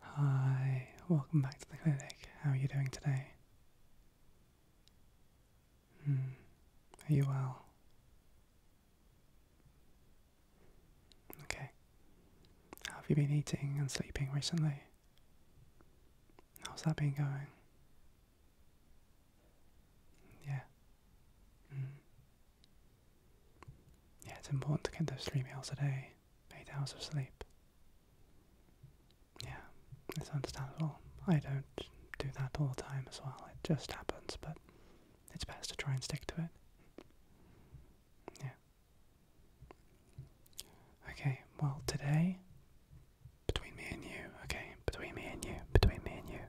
Hi, welcome back to the clinic. How are you doing today? Hmm. Are you well? Okay. How have you been eating and sleeping recently? How's that been going? Yeah. Hmm. Yeah, it's important to get those three meals a day eight hours of sleep. Yeah, it's understandable. I don't do that all the time as well. It just happens, but it's best to try and stick to it. Yeah. Okay, well, today, between me and you, okay, between me and you, between me and you,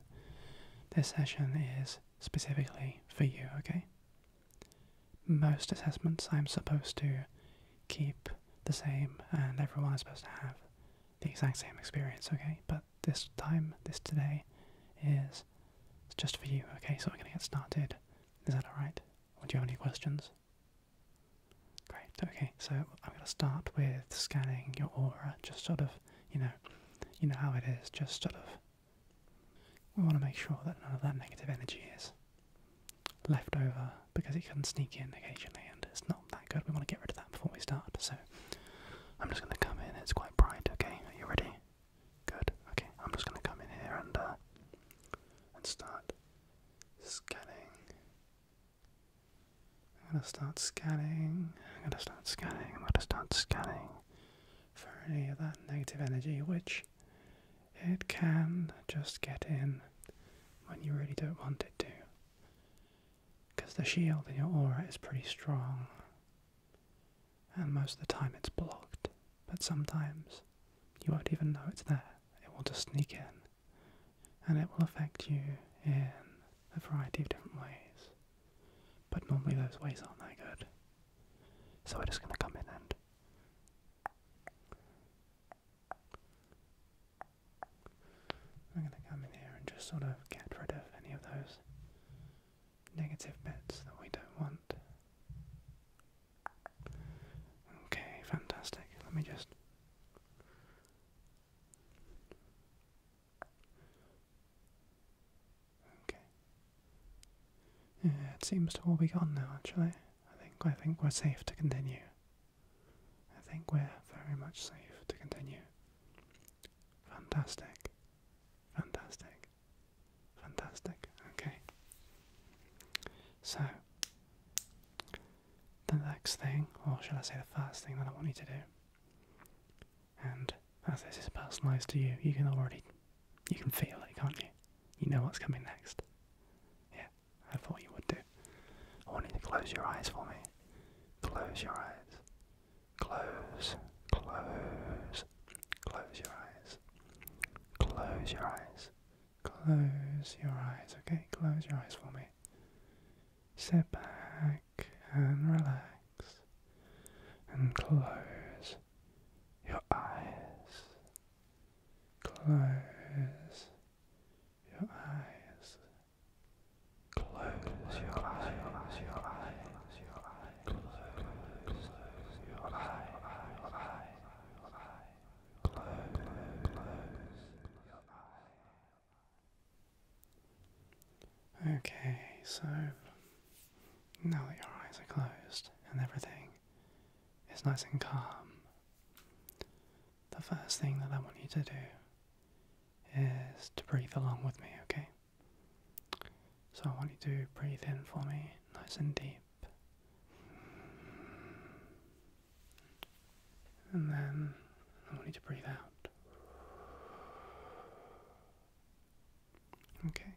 this session is specifically for you, okay? most assessments I'm supposed to keep the same and everyone is supposed to have the exact same experience, okay? But this time, this today, is it's just for you, okay? So we're gonna get started. Is that alright? Or do you have any questions? Great, okay, so I'm gonna start with scanning your aura, just sort of, you know, you know how it is, just sort of we want to make sure that none of that negative energy is left over because it can sneak in occasionally and it's not that good. We want to get rid of that before we start. So I'm just going to come in. It's quite bright. Okay, are you ready? Good. Okay, I'm just going to come in here and uh, and start scanning. I'm going to start scanning. I'm going to start scanning. I'm going to start scanning for any of that negative energy, which it can just get in when you really don't want it to. Because the shield in your aura is pretty strong. And most of the time it's blocked. But sometimes you won't even know it's there. It will just sneak in. And it will affect you in a variety of different ways. But normally those ways aren't that good. So we're just going to come in and I'm going to come in here and just sort of get rid of any of those negative bits that we don't want. Okay, fantastic. Let me just. Okay. it seems to all be gone now, actually. I think I think we're safe to continue. I think we're very much safe to continue. Fantastic. Fantastic. Fantastic. Okay. So the next thing, or shall I say the first thing that I want you to do, and as this is personalised to you, you can already you can feel it, can't you? You know what's coming next. Yeah, I thought you would do. I want you to close your eyes for me. Close your eyes. Close, close, close your eyes. Close your eyes. Close your eyes, okay? Close your eyes for me. Sit back and relax and close your eyes. Close your eyes. Close your eyes. Close your eyes. Okay, so now your eyes are closed and everything it's nice and calm, the first thing that I want you to do is to breathe along with me, okay? So I want you to breathe in for me, nice and deep. And then I want you to breathe out. Okay.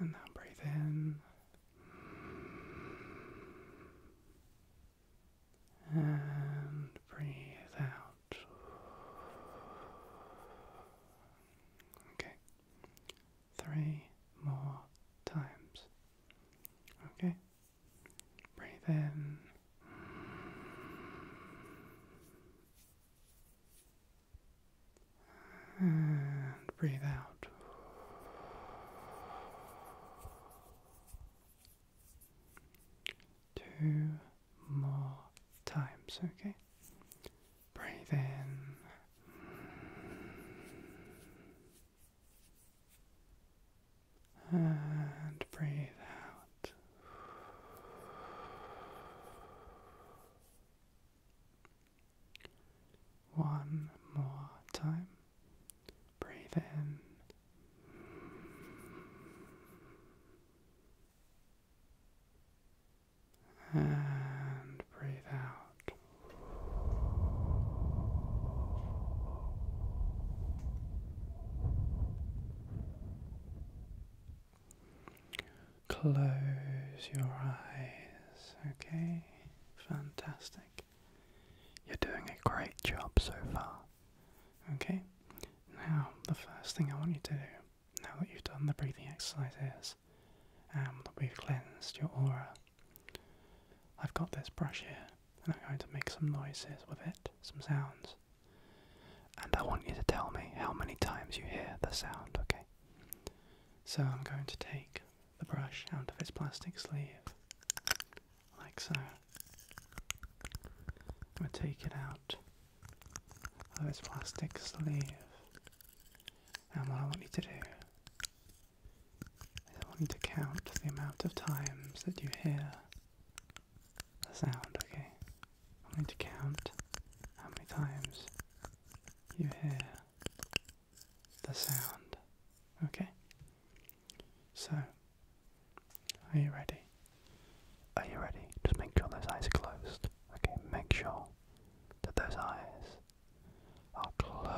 And now breathe in. And breathe out. Okay. Three more times. Okay. Breathe in. And breathe out. Two more times, okay? Breathe in. And breathe out. One more time. Breathe in. And breathe out. Close your eyes, okay? Fantastic. You're doing a great job so far, okay? Now, the first thing I want you to do, now that you've done the breathing exercise, is um, that we've cleansed your aura, I've got this brush here and I'm going to make some noises with it, some sounds. And I want you to tell me how many times you hear the sound, okay? So I'm going to take the brush out of its plastic sleeve, like so. I'm going to take it out of its plastic sleeve. And what I want you to do is I want you to count the amount of times that you hear the sound, okay? I want you to count how many times you hear the sound. Okay? So, are you ready? Are you ready? Just make sure those eyes are closed. Okay, make sure that those eyes are closed,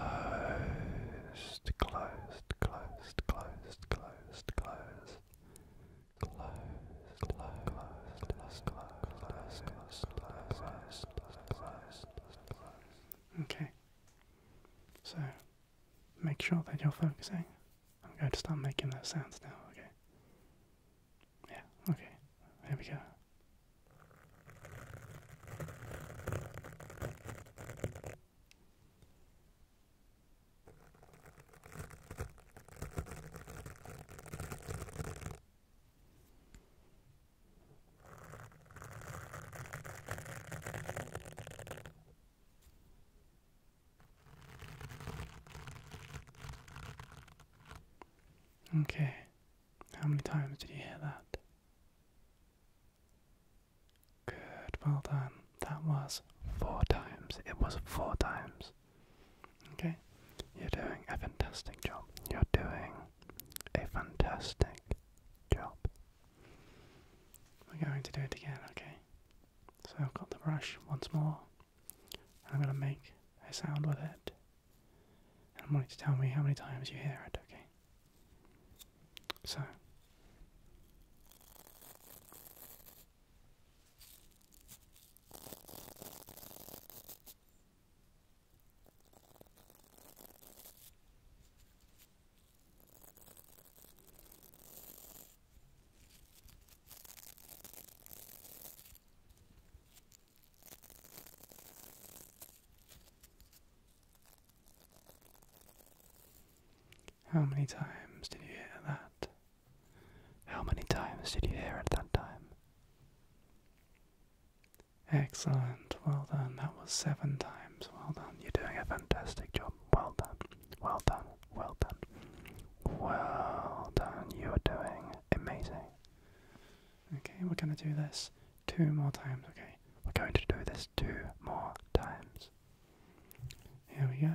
closed, closed, closed, closed, closed, closed. Okay. So, make sure that you're focusing. I'm going to start making those sounds now, okay? Yeah, okay. There we go. Okay, how many times did you hear that? Good, well done. That was four times. It was four times. Okay? You're doing a fantastic job. You're doing a fantastic job. We're going to do it again, okay? So I've got the brush once more. And I'm going to make a sound with it. And I am you to tell me how many times you hear it, okay? So. How many times did you hear that? How many times did you hear it that time? Excellent. Well done. That was seven times. Well done. You're doing a fantastic job. Well done. Well done. Well done. Well done. You are doing amazing. Okay, we're going to do this two more times. Okay, we're going to do this two more times. Here we go.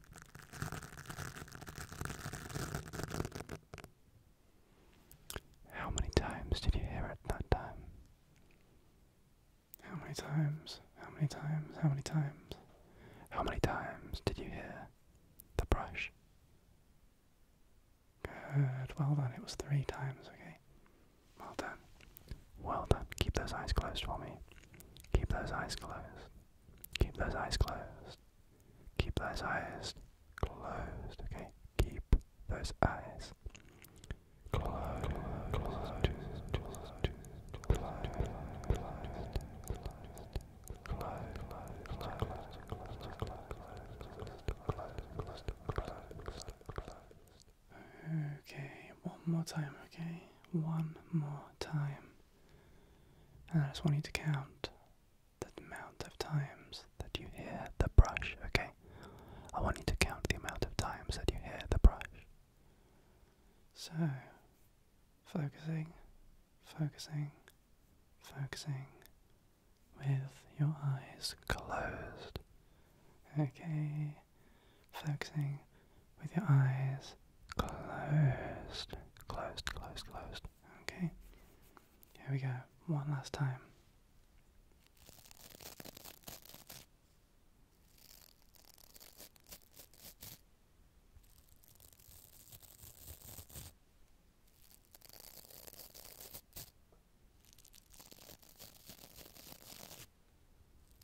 How many times did you hear it that time? How many times? How many times? How many times? How many times did you hear the brush? Good, well done. It was three times, okay? Well done. Well done. Keep those eyes closed for me. Keep those eyes closed. Keep those eyes closed. Keep those eyes closed, okay? Keep those eyes closed. Closed. Closed. Closed. Okay, one more time, okay? One more time. And I just want you to count the amount of times that you hear the brush, okay? I want you to count the amount of times that you hear the brush. So, focusing, focusing, focusing with your eyes closed. Okay, focusing, with your eyes closed. Closed, closed, closed. Okay. Here we go. One last time.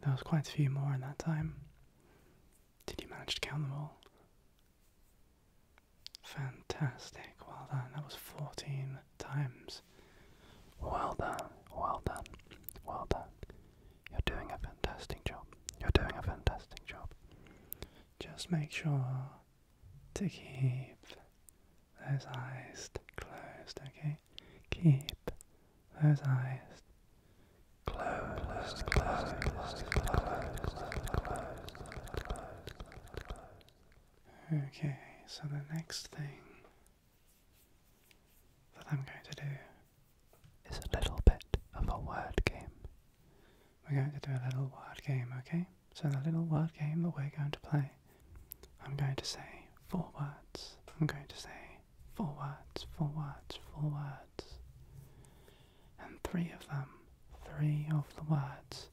There was quite a few more in that time. Did you manage to count them all? Fantastic. Well done. That was 14 times. Well done. Well done. Well done. You're doing a fantastic job. You're doing a fantastic job. Just make sure to keep those eyes closed, okay? Keep those eyes closed, closed, closed, closed, closed, closed, closed. Okay, so the next thing that I'm going to do is a little bit of a word game. We're going to do a little word game, okay? So the little word game that we're going to play I'm going to say four words. I'm going to say four words, four words, four words. And three of them, three of the words,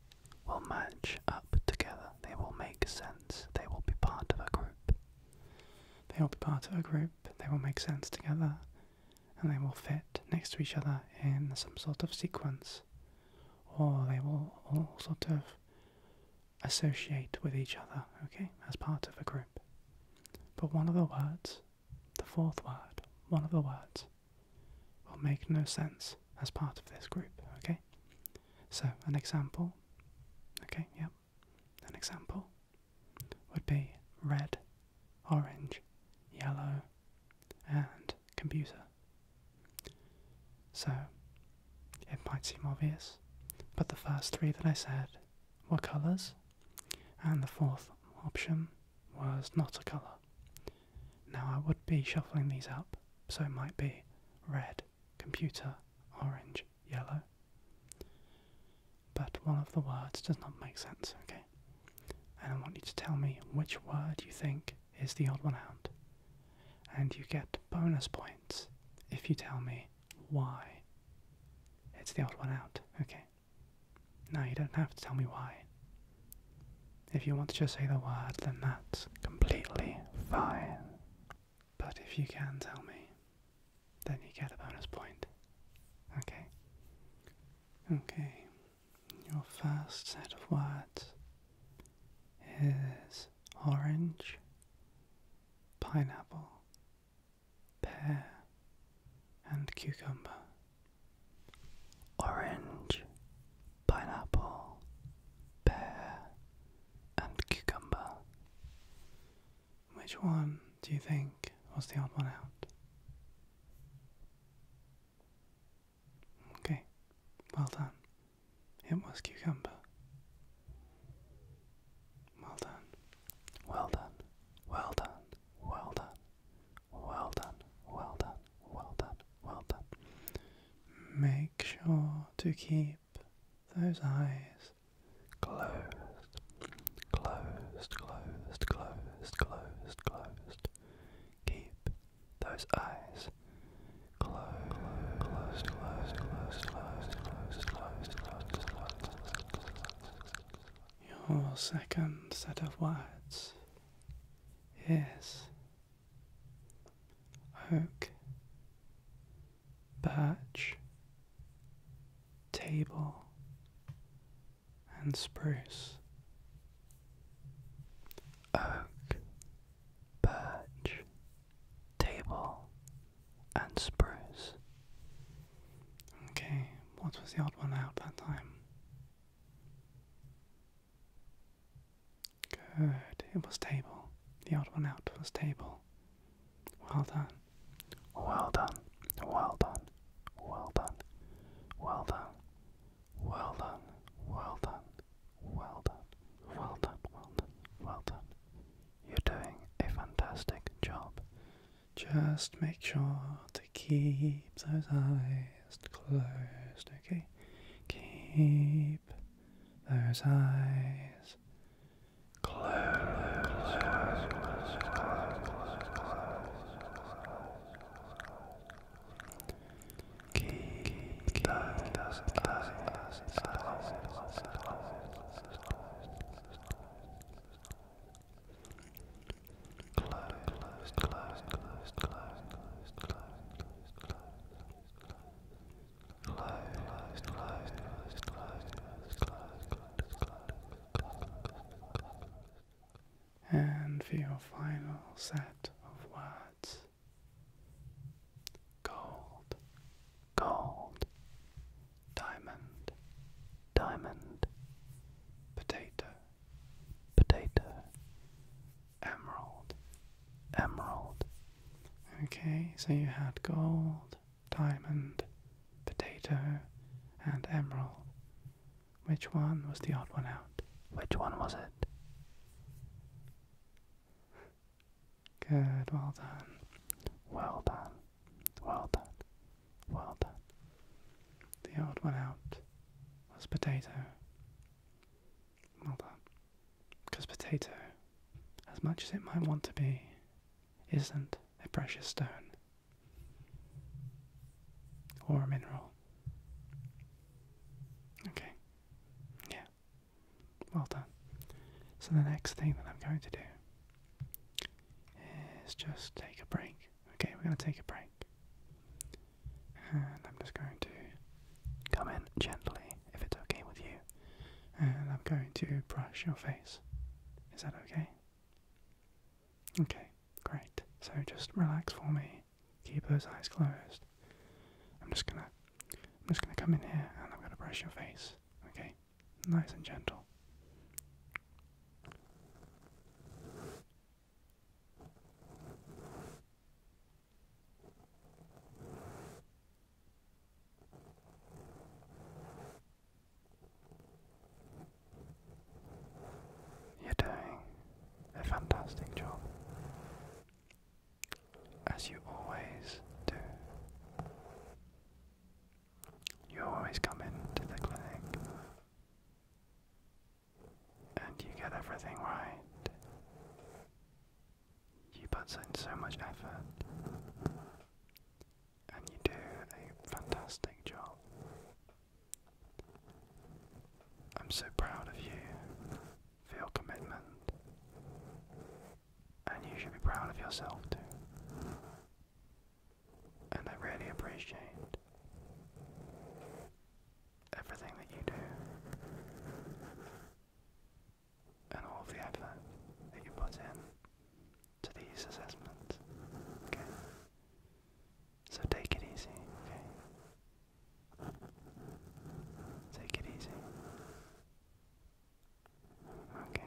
will match up together. They will make sense. They will be part of a group. They will be part of a group. They will make sense together. And they will fit next to each other in some sort of sequence. Or they will all sort of associate with each other, okay, as part of a group. But one of the words, the fourth word, one of the words, will make no sense as part of this group, okay? So, an example, okay, yep, an example would be red, orange, yellow, and computer. So, it might seem obvious, but the first three that I said were colours, and the fourth option was not a colour. Now I would be shuffling these up, so it might be red, computer, orange, yellow. But one of the words does not make sense, okay? And I want you to tell me which word you think is the odd one out and you get bonus points if you tell me why. It's the old one out, okay. Now you don't have to tell me why. If you want to just say the word, then that's completely fine. But if you can tell me, then you get a bonus point. Okay. Okay. Your first set of words is orange, pineapple, pear, and cucumber. Orange, pineapple, pear, and cucumber. Which one do you think was the odd one out? Okay, well done. It was cucumber. Well done. Well done. Well done. Well done. Well done. Well done. Well done. Make sure to keep those eyes closed. Closed, closed, closed, closed, closed. Keep those eyes your second set of words is oak, birch, table, and spruce. Oak, birch, table, and spruce. Okay, what was the odd one out that time? Good, it was table. The odd one out was table. Well done. Well done. Well done. Well done. Well done. Well done. Well done. Well done, well done, well done, well done. You're doing a fantastic job. Just make sure to keep those eyes closed, okay? Keep those eyes closed. And for your final set of words, Gold, gold, diamond, diamond, potato, potato, emerald, emerald. Okay, so you had gold, diamond, potato, and emerald. Which one was the odd one out? Which one was it? Good, well done. Well done. Well done. Well done. The old one out was potato. Well done. Because potato, as much as it might want to be, isn't a precious stone or a mineral. Okay. Yeah. Well done. So the next thing that I'm going to do is just take a break. Okay, we're going to take a break. And I'm just going to come in gently, if it's okay with you. And I'm going to brush your face. Is that okay? Okay, great. So just relax for me. Keep those eyes closed. I'm just going to I'm just going to come in here and I'm going to brush your face. Okay? Nice and gentle. You're doing a fantastic job as you always do. You always come into the clinic and you get everything right. You put in so much effort and you do a fantastic job. I'm so proud of you feel commitment, and you should be proud of yourself too. And I really appreciate everything that you do and all of the effort that you put in to these assessments. Okay? So take it easy, okay? Take it easy. Okay.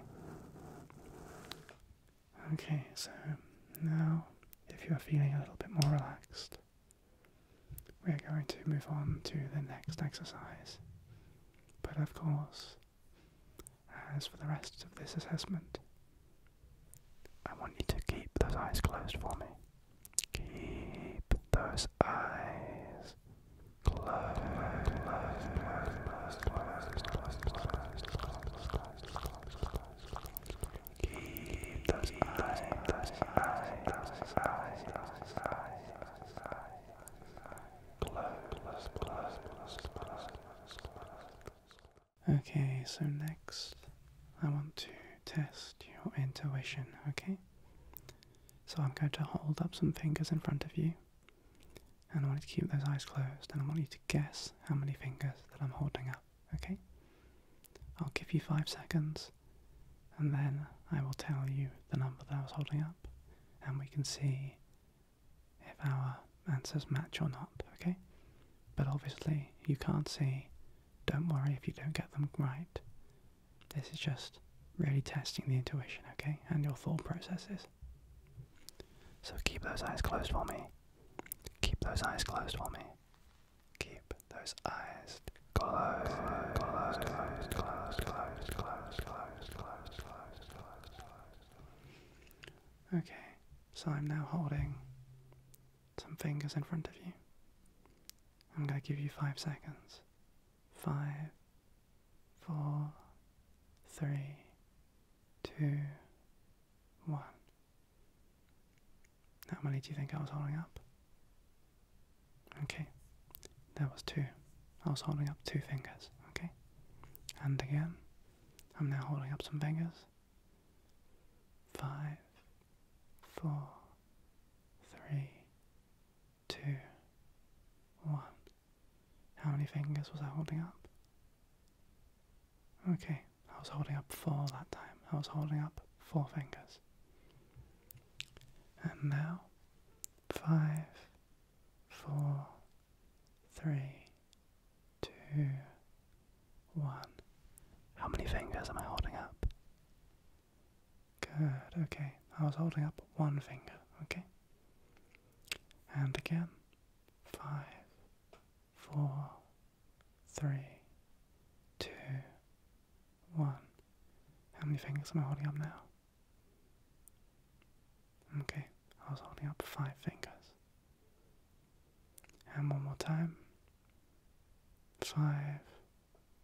Okay, so now if you're feeling a little bit more relaxed, we're going to move on to the next exercise. But of course, as for the rest of this assessment, I want you to keep those eyes closed for me. Keep those eyes Keep those eyes, those eyes, those eyes, those eyes, those eyes closed, closed, closed, closed, closed. Okay, so next I want to test your intuition, okay? So I'm going to hold up some fingers in front of you, and I want you to keep those eyes closed, and I want you to guess how many fingers that I'm holding up, okay? I'll give you five seconds, and then I will tell you the number that I was holding up, and we can see if our answers match or not, okay? But obviously, you can't see. Don't worry if you don't get them right. This is just really testing the intuition, okay, and your thought processes. So keep those eyes closed for me. Keep those eyes closed for me. Keep those eyes closed. Okay, so I'm now holding some fingers in front of you. I'm going to give you five seconds five, four, three, two, one. How many do you think I was holding up? Okay, there was two. I was holding up two fingers, okay? And again, I'm now holding up some fingers. Five, four, three, two, one. How many fingers was I holding up? Okay, I was holding up four that time. I was holding up four fingers. And now, five, four, three, two, one. How many fingers am I holding up? Good, okay. I was holding up one finger, okay? And again. Five, four, three, two, one. How many fingers am I holding up now? Okay, I was holding up five fingers. And one more time. Five,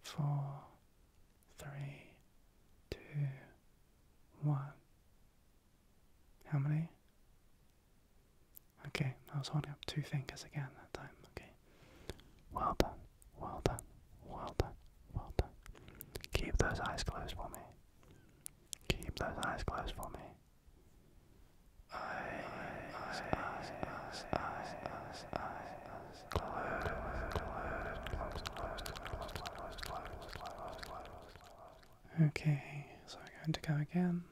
four, three, two, one. How many? Okay, I was holding up two fingers again that time. Okay. Well done, well done, well done, well done. Keep those eyes closed for me. Keep those eyes closed for me. eyes, eyes, eyes, eyes, eyes, eyes, eyes, Okay, so I'm going to go again,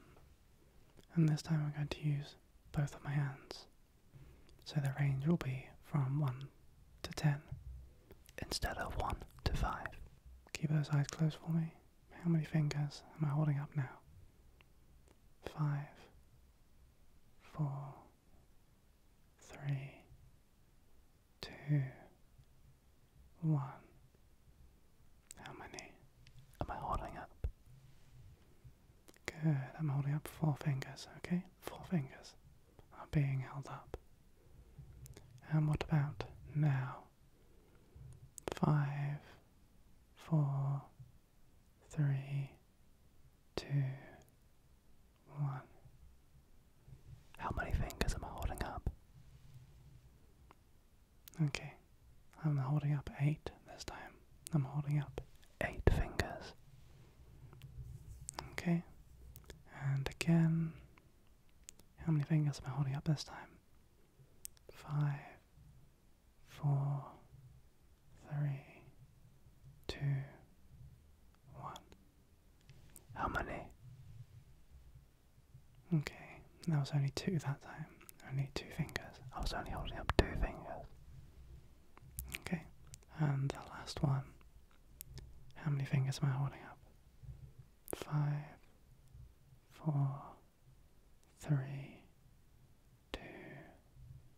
and this time I'm going to use both of my hands. So the range will be from 1 to 10 instead of 1 to 5. Keep those eyes closed for me. How many fingers am I holding up now? Five, four, three, two, one. How many am I holding up? Good, I'm holding up four fingers, okay? Four fingers are being held up. And what about now? Five, four, three, two, one. How many fingers am I holding up? Okay, I'm holding up eight this time. I'm holding up eight fingers. Okay, and again, how many fingers am I holding up this time? Five, four, three, two, one. How many? Okay, that was only two that time. Only two fingers. I was only holding up two fingers. Okay, and the last one. How many fingers am I holding up? Five, four, three, two,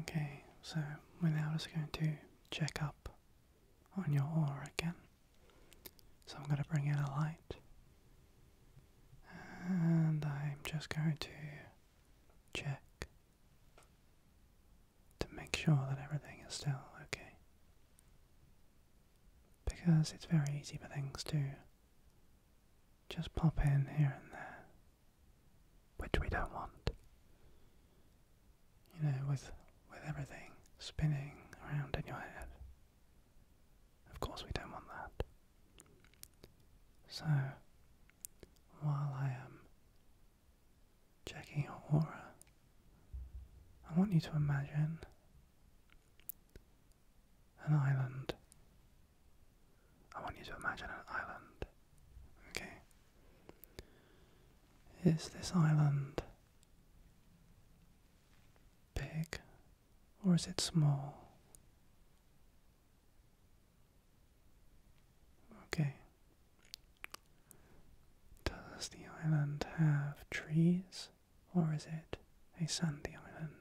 Okay, so we're now just going to check up on your aura again. So I'm going to bring in a light. And I'm just going to check to make sure that everything is still okay. Because it's very easy for things to just pop in here and there, which we don't want. You know, with with everything spinning around in your head. Of course, we don't want that. So, while I am checking your aura, I want you to imagine an island. I want you to imagine an island. Okay. Is this island big or is it small? Okay. Does the island have trees or is it a sandy island?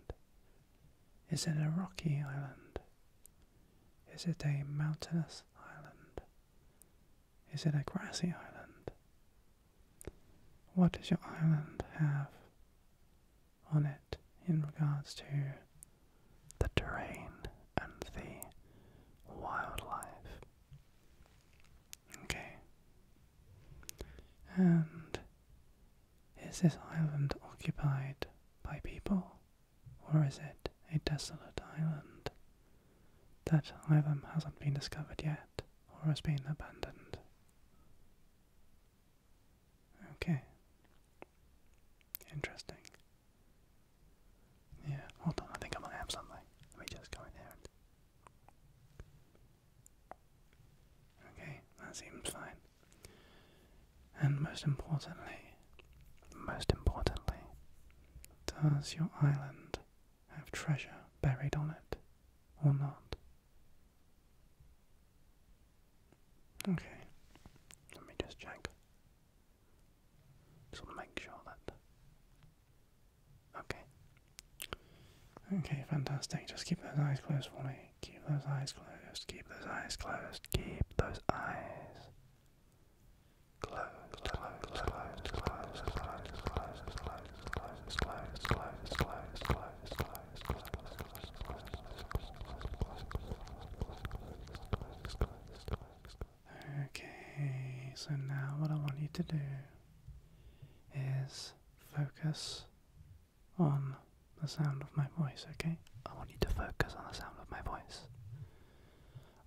Is it a rocky island? Is it a mountainous island? Is it a grassy island? What does your island have on it in regards to the terrain, and the wildlife. Okay. And is this island occupied by people, or is it a desolate island? That either hasn't been discovered yet or has been abandoned. Okay. Interesting. Yeah, hold on, I think I'm gonna have something. Let me just go in there Okay, that seems fine. And most importantly, most importantly, does your island have treasure buried on it or not? Okay, let me just check. Just make sure that. Okay. Okay, fantastic. Just keep those eyes closed for me. Keep those eyes closed. Keep those eyes closed. Keep those eyes closed. Closed. Closed. Closed. Closed. Closed. Closed. Closed. Closed. Closed. Closed. Closed. Closed. Closed. Closed. Closed. Okay, so now what I want you to do is focus on the sound of my voice, okay? I want you to focus on the sound of my voice.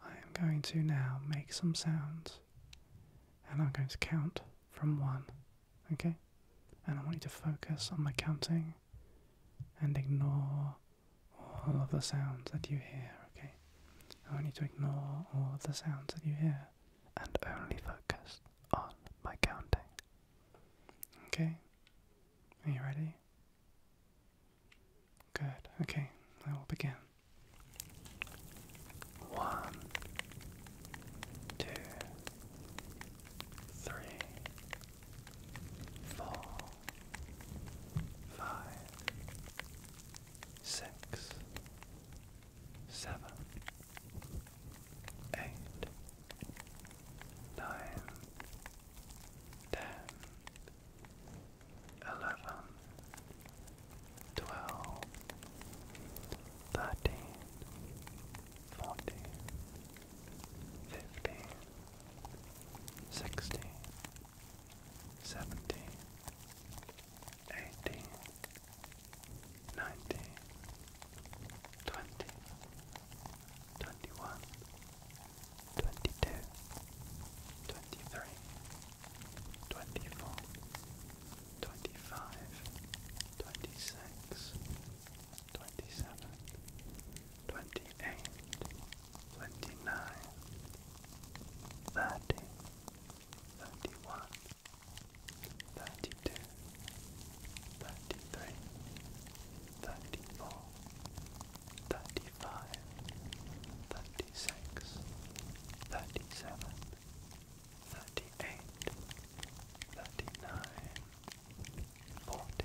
I am going to now make some sounds and I'm going to count from one, okay? And I want you to focus on my counting and ignore all of the sounds that you hear, okay? I need to ignore all of the sounds that you hear and only focus on my counting. Okay? Are you ready? Good. Okay, I will begin. One, two, three, four, five, six, seven, eight, nine, ten, eleven, twelve, thirteen, fourteen, fifteen, sixteen seventeen, eighteen, nineteen, twenty, twenty-one, twenty-two, twenty-three, twenty-four, twenty-five, twenty-six, twenty-seven, twenty-eight. 29 30 31 32 33 34 35 36 37 38 39 40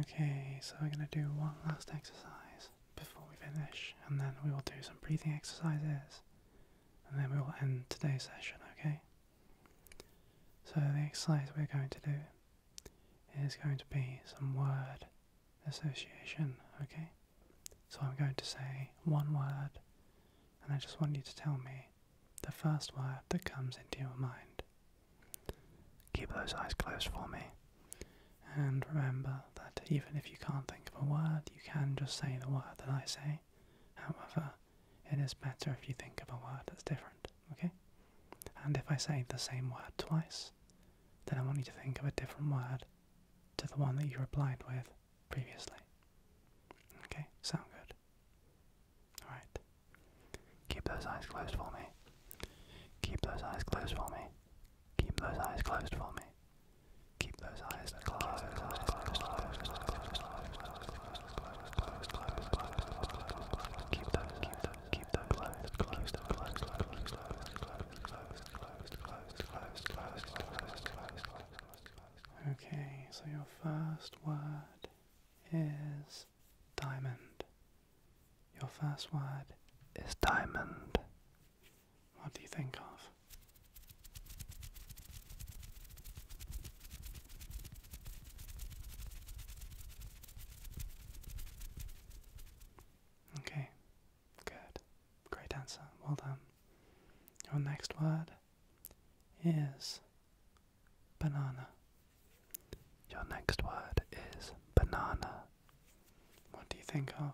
Okay, so we're going to do one last exercise before we finish, and then we will do some breathing exercises, and then we will end today's session, okay? So, the exercise we're going to do is going to be some word association, okay? So, I'm going to say one word, and I just want you to tell me the first word that comes into your mind, Keep those eyes closed for me. And remember that even if you can't think of a word, you can just say the word that I say. However, it is better if you think of a word that's different, okay? And if I say the same word twice, then I want you to think of a different word to the one that you replied with previously. Okay, sound good? Alright. Keep those eyes closed for me. Keep those eyes closed for me. Keep those eyes closed for me. Keep those eyes closed. Keep those keep those keep those closed closed closed closed closed closed closed closed closed Okay, so your first word is diamond. Your first word is diamond. What do you think of? Okay, good. Great answer. Well done. Your next word is banana. Your next word is banana. What do you think of?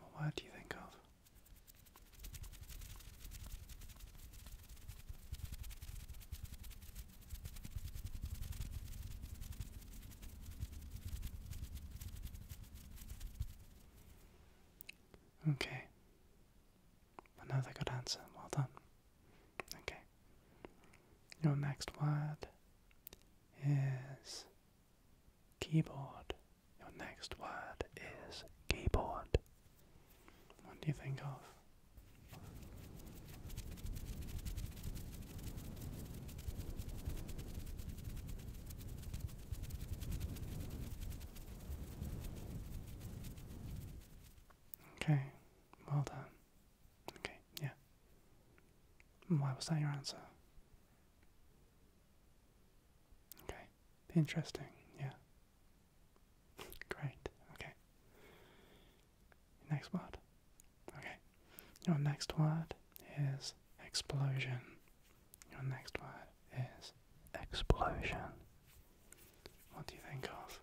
What word do you think of? Okay. Another good answer. Well done. Okay. Your next word is keyboard. Your next word is keyboard. What do you think of? Okay, well done. Okay, yeah. Hmm, why was that your answer? Okay, interesting, yeah. Great, okay. Next word. Okay, your next word is explosion. Your next word is explosion. What do you think of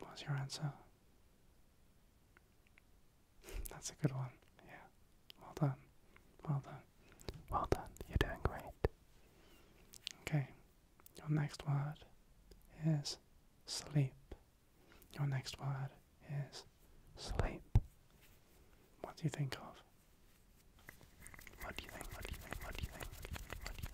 What's your answer? That's a good one. Yeah. Well done. Well done. Well done. You're doing great. Okay. Your next word is sleep. Your next word is sleep. What do you think of? What do you think? What do you think? What do you think? What do you think?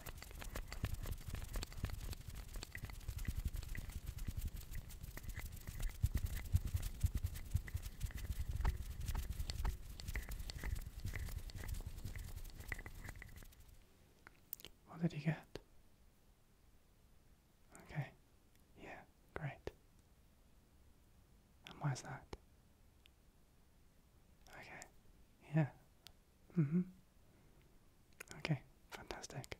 What did you get? Okay. Yeah, great. And why's that? Okay. Yeah. Mm-hmm. Okay, fantastic.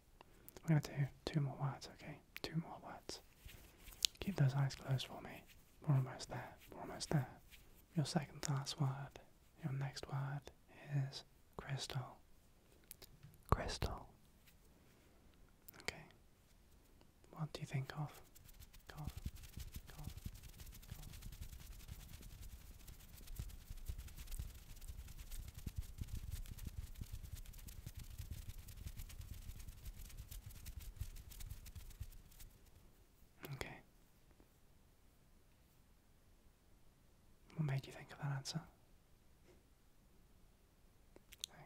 We're gonna do two more words, okay? Two more words. Keep those eyes closed for me. We're almost there. We're almost there. Your second last word, your next word is crystal. Crystal. Okay. What do you think of? Okay. What made you think of that answer?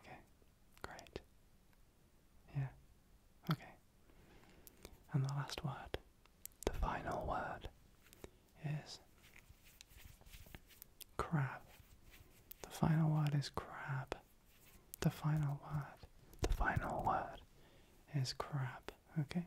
Okay, great. Yeah, okay. And the last word, the final word, is crap. The final word is crap. The final word, the final word is crap. Okay?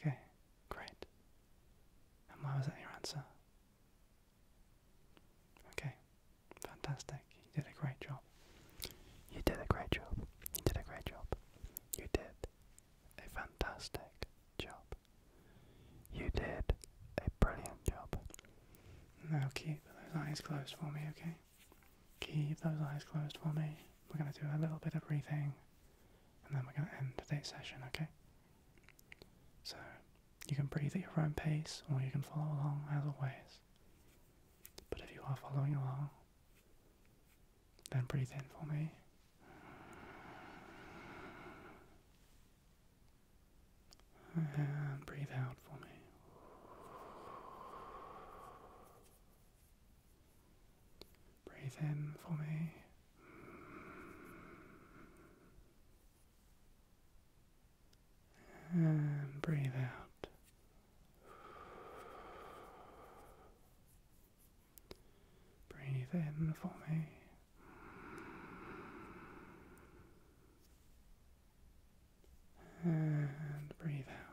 Okay, great. And why was that your answer? Okay, fantastic. You did a great job. You did a great job. You did a great job. You did a fantastic job. You did a brilliant job. Now keep those eyes closed for me, okay? Keep those eyes closed for me. We're going to do a little bit of breathing and then we're going to end today's session, okay? So, you can breathe at your own pace, or you can follow along as always. But if you are following along, then breathe in for me. And breathe out for me. Breathe in for me. And breathe out. Breathe in for me. And breathe out.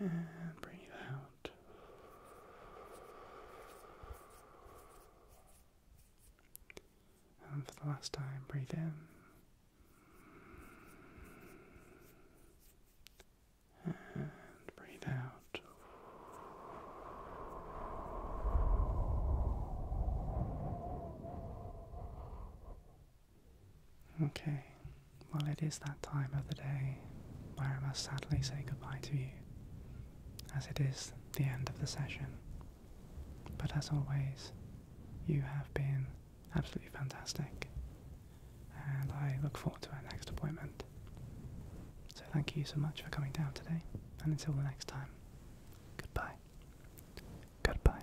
And bring out. And for the last time, breathe in. And breathe out. Okay, well, it is that time of the day where I must sadly say goodbye to you, as it is the end of the session. But as always, you have been absolutely fantastic, and I look forward to our next appointment. So, thank you so much for coming down today, and until the next time, goodbye. Goodbye.